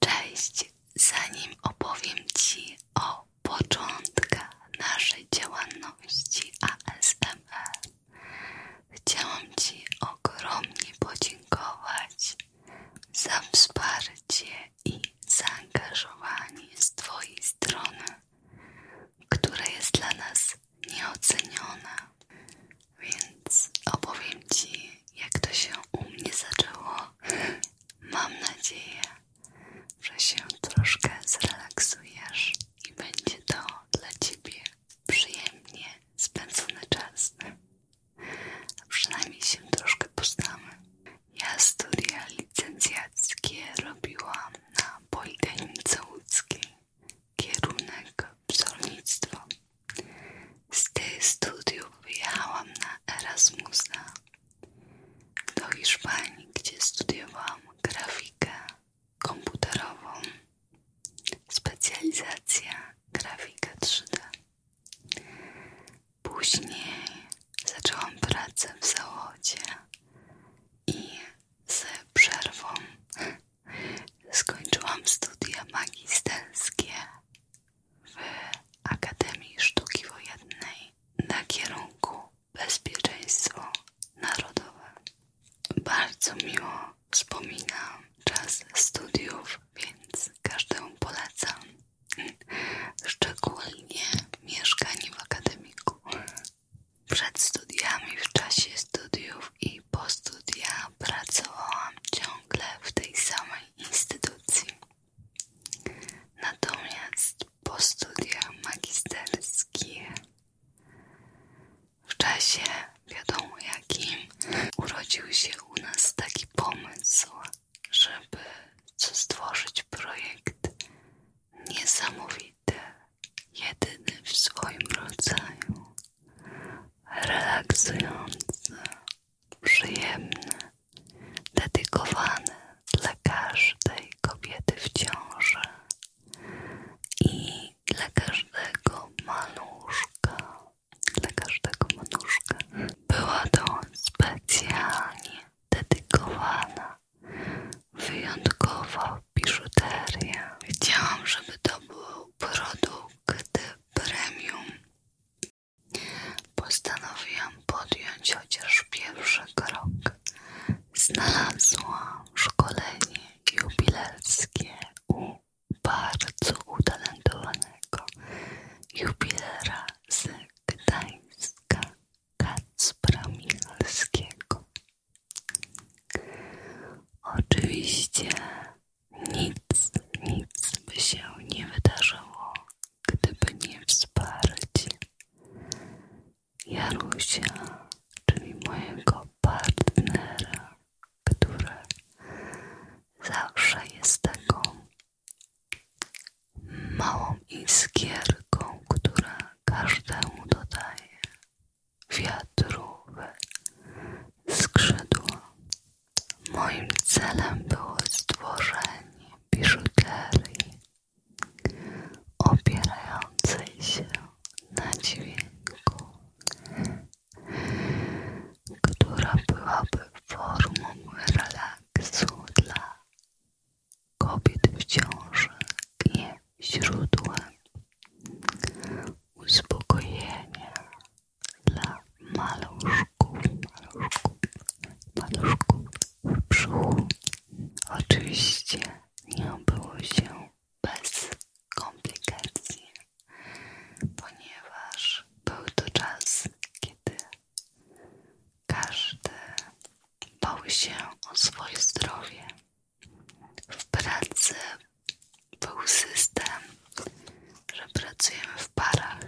Cześć! Zanim opowiem Ci o początkach naszej działalności ASMR, chciałam Ci ogromnie podziękować za wsparcie i zaangażowanie z Twojej strony, które jest dla nas nieocenione. Więc opowiem Ci, jak to się u mnie zaczęło Mam nadzieję, że się troszkę zrelaksujesz i będzie to dla Ciebie przyjemnie spędzony czas. A przynajmniej się troszkę poznamy. Ja studia licencjackie robiłam na Politechnice Łódzkiej, kierunek wzornictwo. Z tych studiów wyjechałam na Erasmusa do Hiszpanii, gdzie studiowałam grafikę komputerową, specjalizacja grafika 3D. Później zaczęłam pracę w zawodzie i z przerwą skończyłam studia magisterskie w Akademii Sztuki Wojennej na kierunku Bezpieczeństwo Narodowe. Bardzo miło wspominam czas studiów, więc każdemu polecam, szczególnie mieszkanie w akademiku. Przed studiami, w czasie studiów i po studiach pracowałam ciągle w tej samej instytucji. Natomiast po studiach magisterskich, w czasie wiadomo jakim, urodził się u nas taki pomysł, żeby stworzyć projekt niesamowity, jedyny w swoim rodzaju, relaksujący przyjemny, dedykowany dla każdej kobiety w ciąży i dla każdego maluszka. Dla każdego maluszka. Była to specjalnie dedykowana, wyjątkowa biżuteria. Chciałam, żeby to był produkt premium Postanowiłam podjąć chociaż pierwszy krok. Znalazłam szkolenie jubilerskie u bardzo utalentowanego jubilera z Gdańska, Kacpra Oczywiście nic, nic by się nie wydarzyło, gdyby nie wsparcie Jarusia, czyli mojego partnera, który zawsze jest taką małą iskierką, która każdemu dodaje wiatrowe skrzydła. Moim celem było stworzenie biżuterii opierającej się na dźwięku, która byłaby formą relaksu dla kobiet w ciąży i źródłem uspokojenia dla maluszków, maluszków, maluszków w brzuchu. Oczywiście nie obyło się bez komplikacji, ponieważ był to czas, kiedy każdy bał się o swoje zdrowie. W pracy był system, że pracujemy w parach,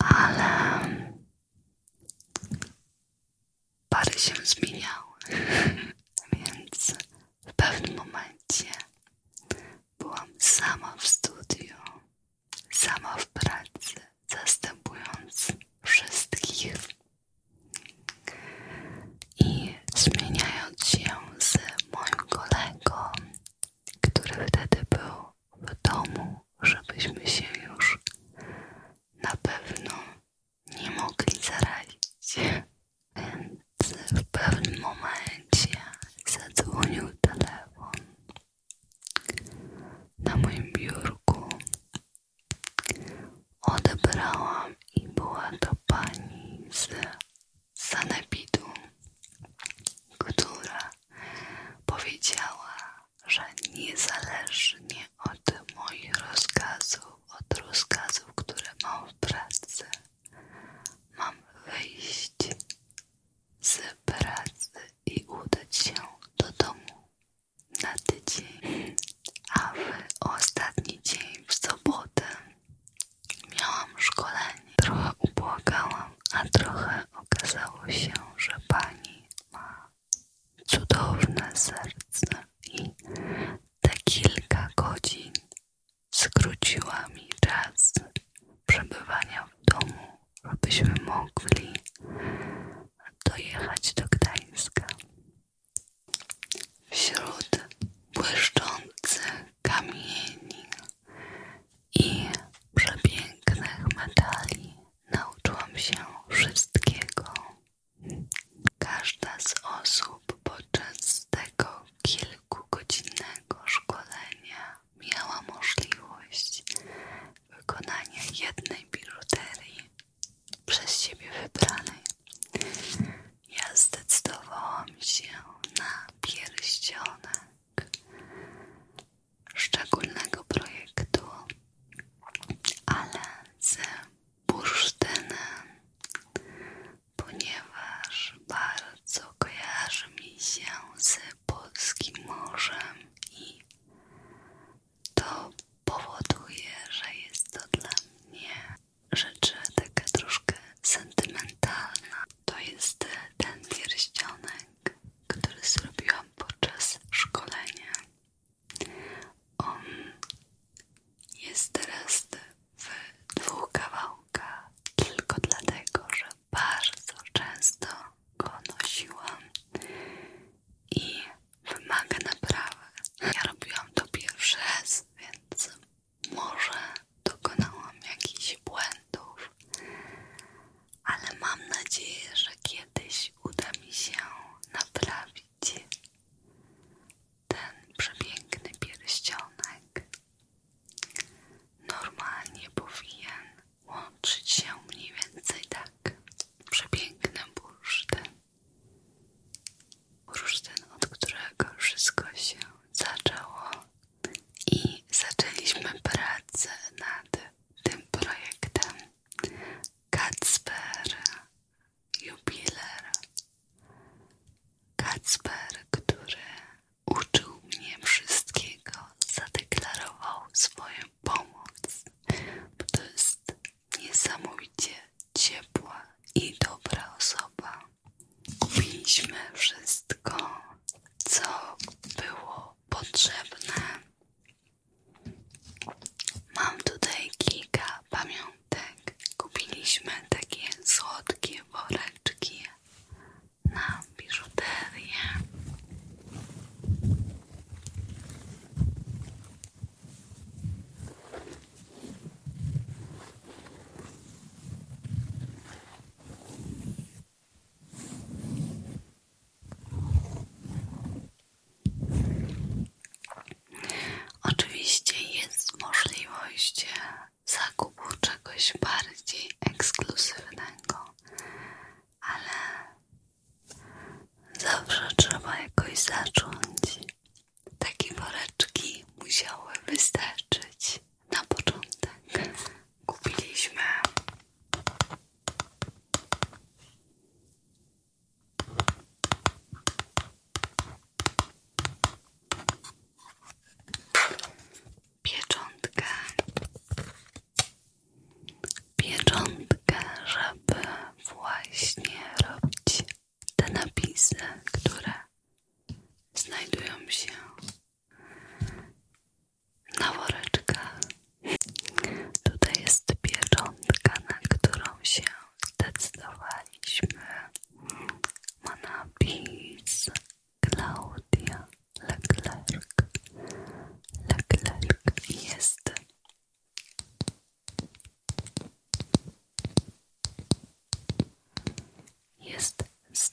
ale pary się zmieniały, więc w pewnym momencie byłam sama w studiu, sama w pracy, zastępując wszystkich i zmieniając się z moim kolegą który wtedy był w domu, żebyśmy się już na pewno nie mogli zarazić. Więc w pewnym momencie zadzwonił telefon na moim biurku. Odebrałam i była to pani z sanepidu, która powiedziała, że niezależnie od moich rozkazów, od rozkazów, które mam w pracy, mam wyjść z pracy i udać się do domu na tydzień, a w ostatni dzień, w sobotę, miałam szkolenie. Trochę ubłagałam, a trochę okazało się, że pani ma cudowne serce i te kilka godzin skróciła mi czas przebywania w domu, żebyśmy mogli dojechać do Gdańska. Wśród błyszczących kamieni i przepięknych metali nauczyłam się wszystkiego. Każda z osób podczas tego kilkugodzinnego szkolenia miała możliwość wykonania jednej biżuterii przez siebie wybranej. Ja zdecydowałam się na pierścionek tak szczególnego projektu, ale z bursztynem, ponieważ bardzo kojarzy mi się z polskim morzem i to powoduje, że jest to dla mnie rzecz taka troszkę sentymentalna, to jest ten pierścionek, który zrobiłam podczas szkolenia. On jest teraz w dwóch kawałkach, tylko dlatego, że bardzo często go nosiłam i wymaga naprawy. Ja robiłam to pierwsze, raz, więc może dokonałam jakichś błędów, ale mam nadzieję, że kiedyś uda mi się naprawić ten przepiękny pierścionek. Normalnie powinien łączyć się mniej więcej tak. Przepiękny bursztyn. Bursztyn, od którego wszystko się zaczęło i zaczęliśmy pracę nad tym projektem. Kacper, jubiler. Kacper, który uczył mnie wszystkiego, zadeklarował swoją pomoc, bo to jest niesamowicie ciepła i dobra osoba. Kupiliśmy wszystko co było potrzebne. Mam tutaj kilka pamiątek. Kupiliśmy takie słodkie woreczki na biżuterię. Oczywiście jest możliwość zakupu czegoś bardziej ekskluzywnego, ale zawsze trzeba jakoś zacząć. Takie woreczki musiały wystarczyć na początek kupiliśmy pieczątkę pieczątkę, żeby właśnie robić te napisy, które znajdują się na Tutaj jest pieczątka, na którą się zdecydowaliśmy. Ma napis Klaudia Leclerc. Leclerc jest jest z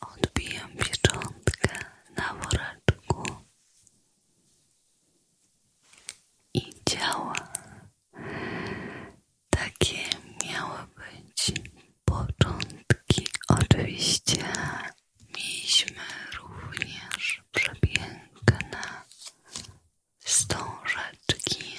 Odbijam pieczątkę na woreczku i działa. Takie miały być początki. Oczywiście mieliśmy również przepiękne wstążeczki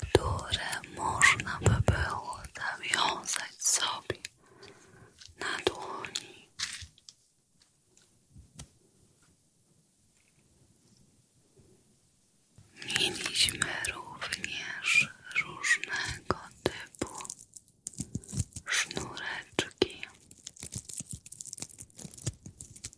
które można by było zawiązać sobie na dłoni. Mieliśmy również różnego typu sznureczki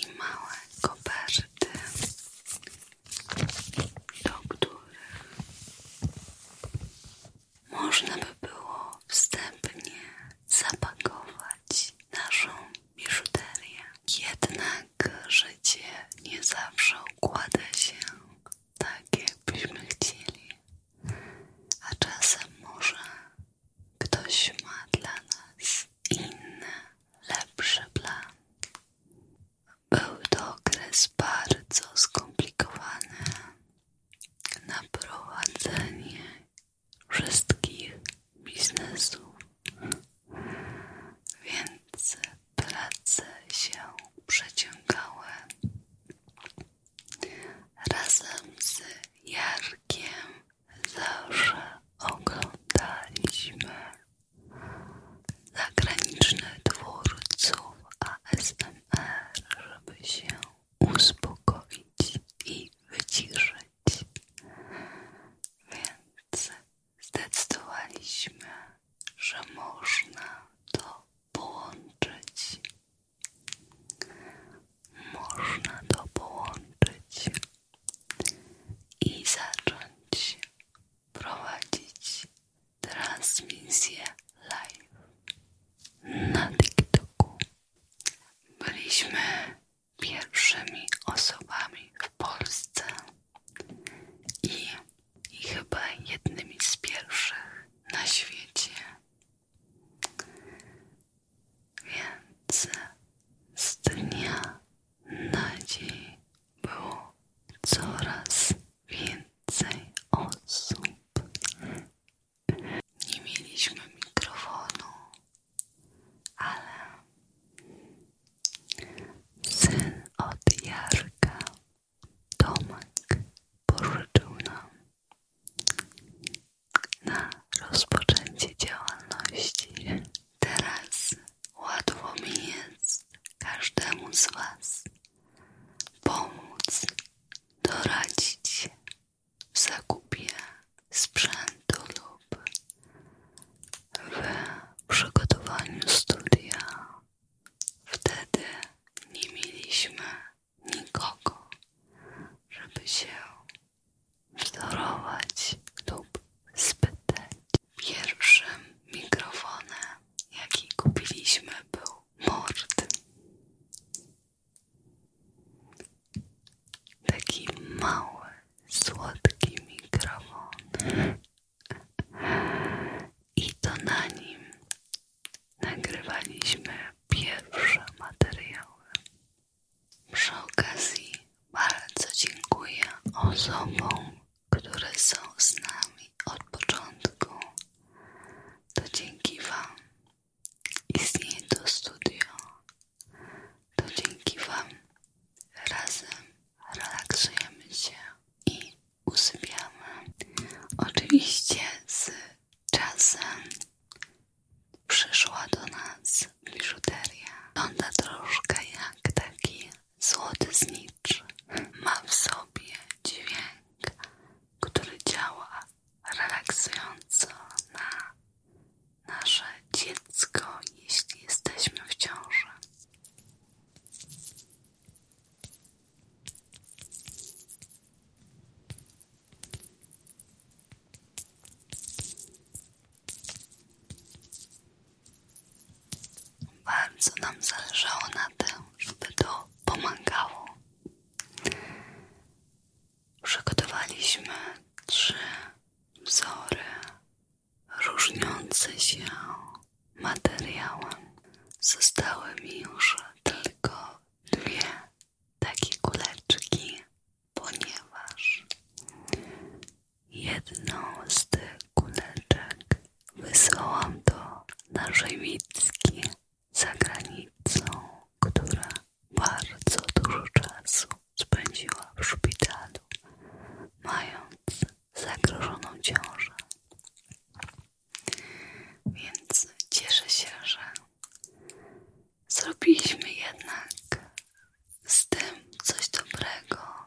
i małe koperty, do których można by było wstępnie zapakować naszą biżuterię. Jednak życie nie zawsze układa się tak, jakbyśmy chcieli, a czasem może ktoś ma dla nas inny, lepszy plan. Był to okres bardzo skomplikowany na prowadzenie wszystkich biznesów, więc prace się przeciągały razem z Jarkiem zawsze oglądaliśmy zagranicznych twórców ASMR aby się uspokoić i wyciszyć. Więc zdecydowaliśmy, że można to połączyć. Można to połączyć i zacząć prowadzić transmisję live na TikToku. Byliśmy pierwszymi osobami w Polsce i, i chyba jednymi z pierwszych na świecie. Więc z dnia na dzień było coraz więcej osób. Nie mieliśmy mikrofonu, ale syn od Jarka, Tomek, pożyczył nam na rozpoczęcie działalności. Teraz łatwo mi jest każdemu z Was pomóc doradzić w zakupie sprzętu lub w przygotowaniu studia. Wtedy nie mieliśmy nikogo, żeby się wzorować lub spytać. Pierwszym mikrofonem, jaki kupiliśmy, był mord. Taki mały, słodki mikrofon. I to na nim nagrywaliśmy pierwsze materiały. Przy okazji bardzo dziękuję osobom, które są z nami od początku to dzięki Wam istnieje to studio. To dzięki Wam razem relaksujemy się i usypiamy. Oczywiście z czasem przyszła do nas biżuteria. Wygląda troszkę jak taki złoty znik ma w sobie dźwięk, który działa relaksująco na nasze dziecko, jeśli jesteśmy w ciąży. Bardzo nam zależało na tym, żeby do pomagało. Przygotowaliśmy trzy wzory różniące się materiałem. Zostały mi już tylko dwie takie kuleczki, ponieważ jedną z tych kuleczek wysłałam do naszej Micki, za granicą, która bardzo dużo czasu spędziła w szpitalu, mając zagrożoną ciążę. Więc cieszę się, że zrobiliśmy jednak z tym coś dobrego.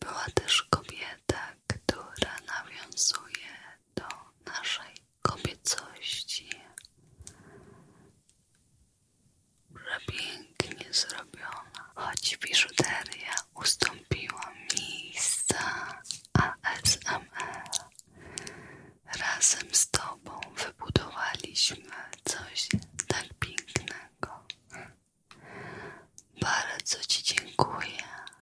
Była też kobieta, która nawiązuje do naszej kobiecości. Przepięknie zrobiona, choć biżuteria ustąpiła miejsca ASMR. Razem z Tobą wybudowaliśmy coś tak pięknego. Bardzo Ci dziękuję